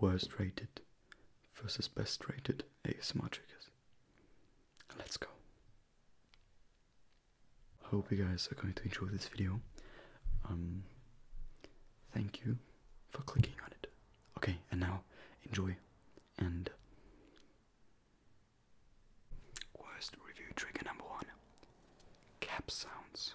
worst rated versus best rated ASMR triggers. Let's go. Hope you guys are going to enjoy this video. Um, thank you for clicking on it. Okay, and now enjoy and worst review trigger number one. Cap sounds.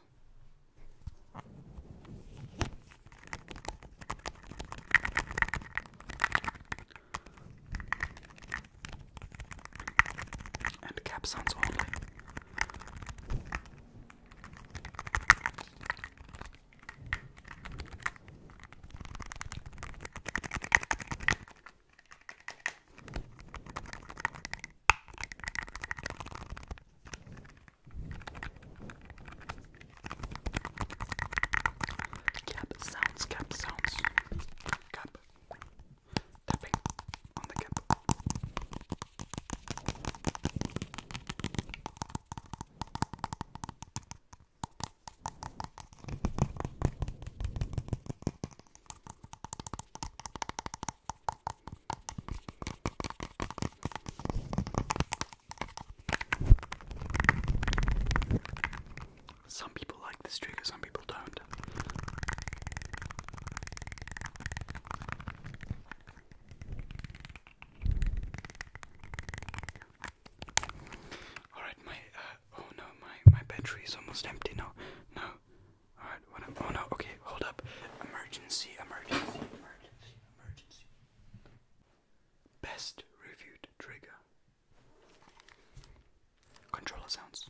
And cap sounds only. Cap sounds, cap sounds, cap tapping on the cap. Some people like this trigger, some people don't. Alright, my, uh, oh no, my, my battery is almost empty now. No, alright, what am, oh no, okay, hold up. Emergency, emergency, emergency, emergency. Best reviewed trigger. Controller sounds.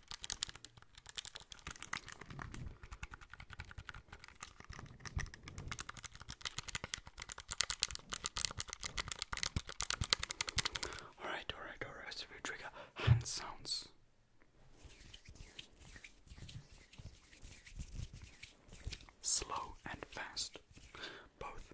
Alright, alright, alright, so we trigger hand sounds. Slow and fast, both.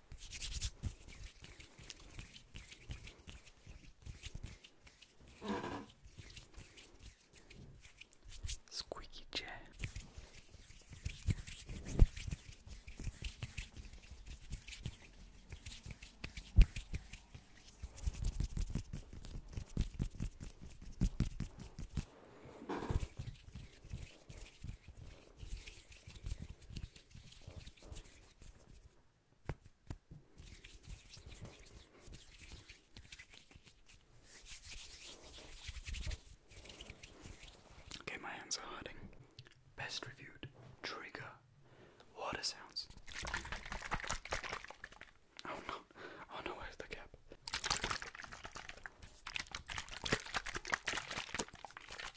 Squeaky chair. Okay, my hands are hurting. Best reviewed trigger water sounds. Oh no, oh no, where's the cap?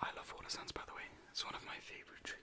I love water sounds, by the way, it's one of my favorite trees.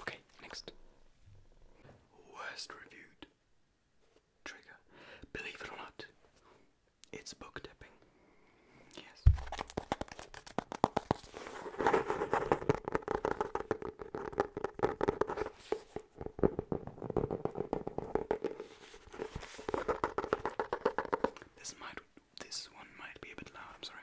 Okay, next. Worst reviewed trigger. Believe it or not, it's book dipping. Yes. This might this one might be a bit loud, I'm sorry.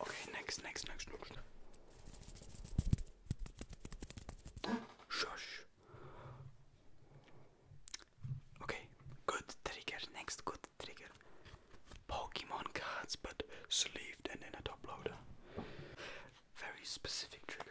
Okay, next, next, next, Shush. Okay, good trigger. Next good trigger Pokemon cards but sleeved and in a top loader. Very specific trigger.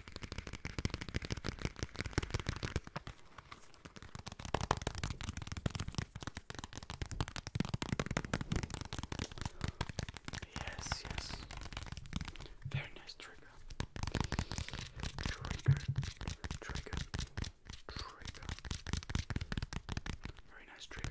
Yes, yes. Very nice trigger. Trigger, trigger, trigger. Very nice trigger.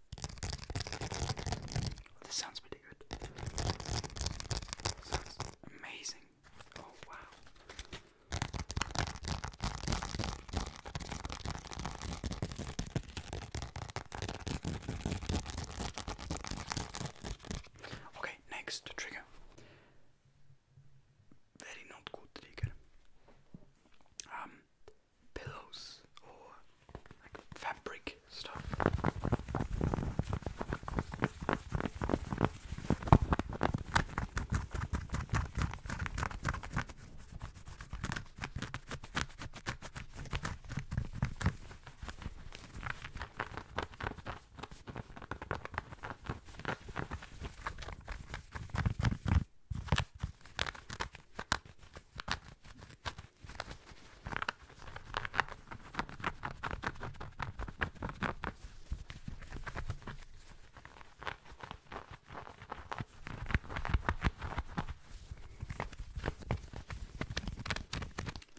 This sounds pretty good. Sounds amazing. Oh wow. Okay, next trigger. Very not good trigger. Um pillows or like fabric stuff. It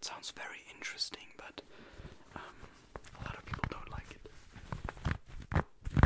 sounds very interesting, but um, a lot of people don't like it.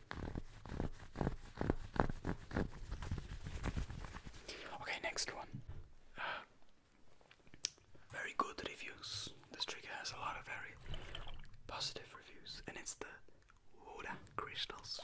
Okay, next one. Uh, very good reviews. This trigger has a lot of very positive reviews, and it's the water crystals.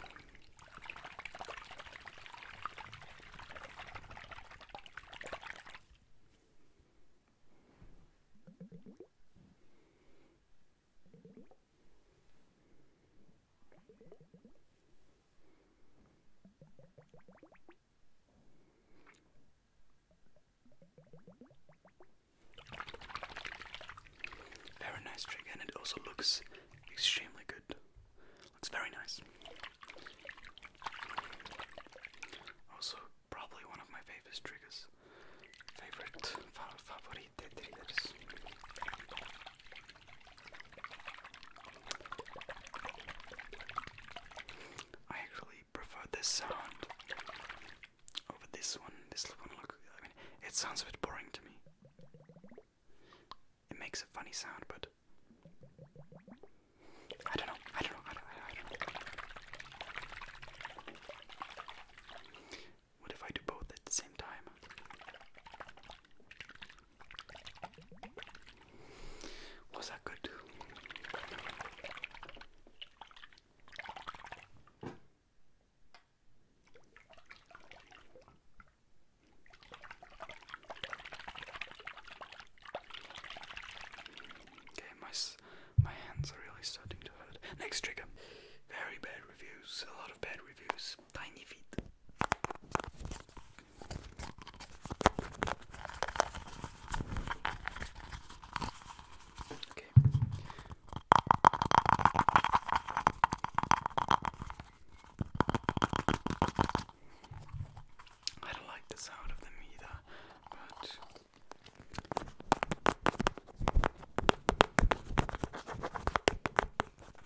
Very nice trick, and it also looks extremely good. Looks very nice. Also, probably one of my favorite triggers. Favorite, favorite, I actually prefer this sound over this one. This one, look, I mean, it sounds a bit boring to me. It makes a funny sound, but I don't know. I don't know. What if I do both at the same time? Was that good? Okay, my my hands are really starting to hurt. Next trigger. Very bad reviews. A lot of bad reviews. Tiny feet. I don't like the sound of them either, but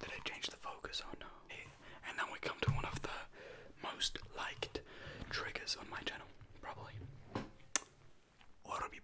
Did I change the focus or no? And then we come to one of the most liked triggers on my channel, probably. Orbi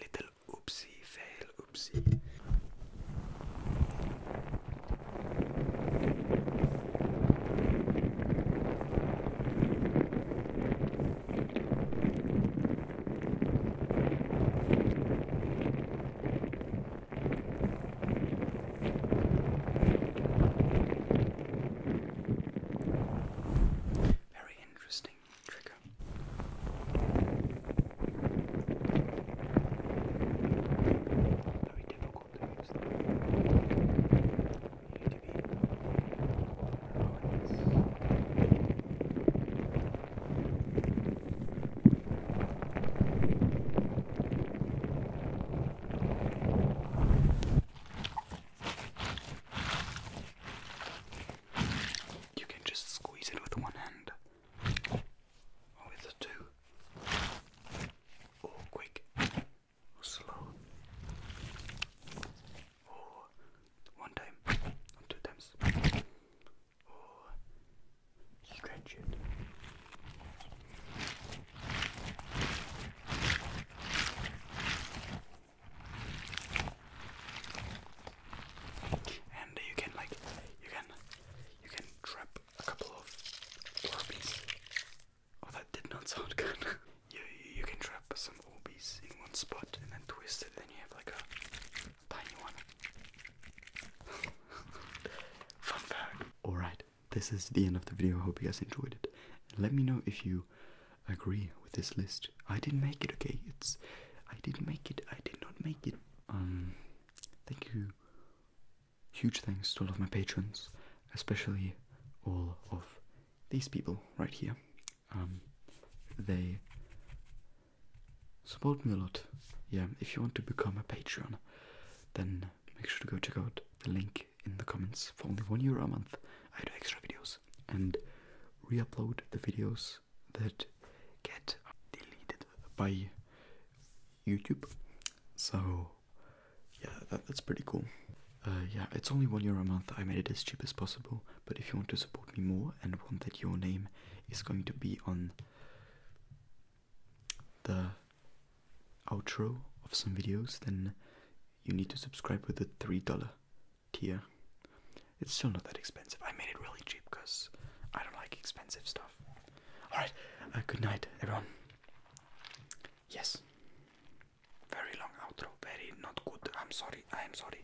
Little oopsie fail oopsie. Very interesting trigger. Very difficult to use. You need to be you can just squeeze it with one hand or with the two, or quick or slow, or one time, two times. Oh, stretch it. And you can like you can you can trap a couple of Orbeez. Oh, that did not sound good. you you can trap some all OBs in one spot and then twist it, then you have like a tiny one. Fun fact. Alright, this is the end of the video. I hope you guys enjoyed it. Let me know if you agree with this list. I didn't make it, okay? It's I didn't make it. I did not make it. Um thank you. Huge thanks to all of my patrons, especially all of these people right here. Um, they support me a lot. Yeah, if you want to become a Patreon, then make sure to go check out the link in the comments. For only one euro a month, I do extra videos and re-upload the videos that get deleted by YouTube. So yeah, that's pretty cool. Uh, yeah, it's only one euro a month. I made it as cheap as possible. But if you want to support me more and want that your name is going to be on the outro of some videos, then you need to subscribe with the $3 tier. It's still not that expensive. I made it really cheap because I don't like expensive stuff. Alright, uh, good night, everyone. Yes. Very long outro, very not good. I'm sorry, I am sorry.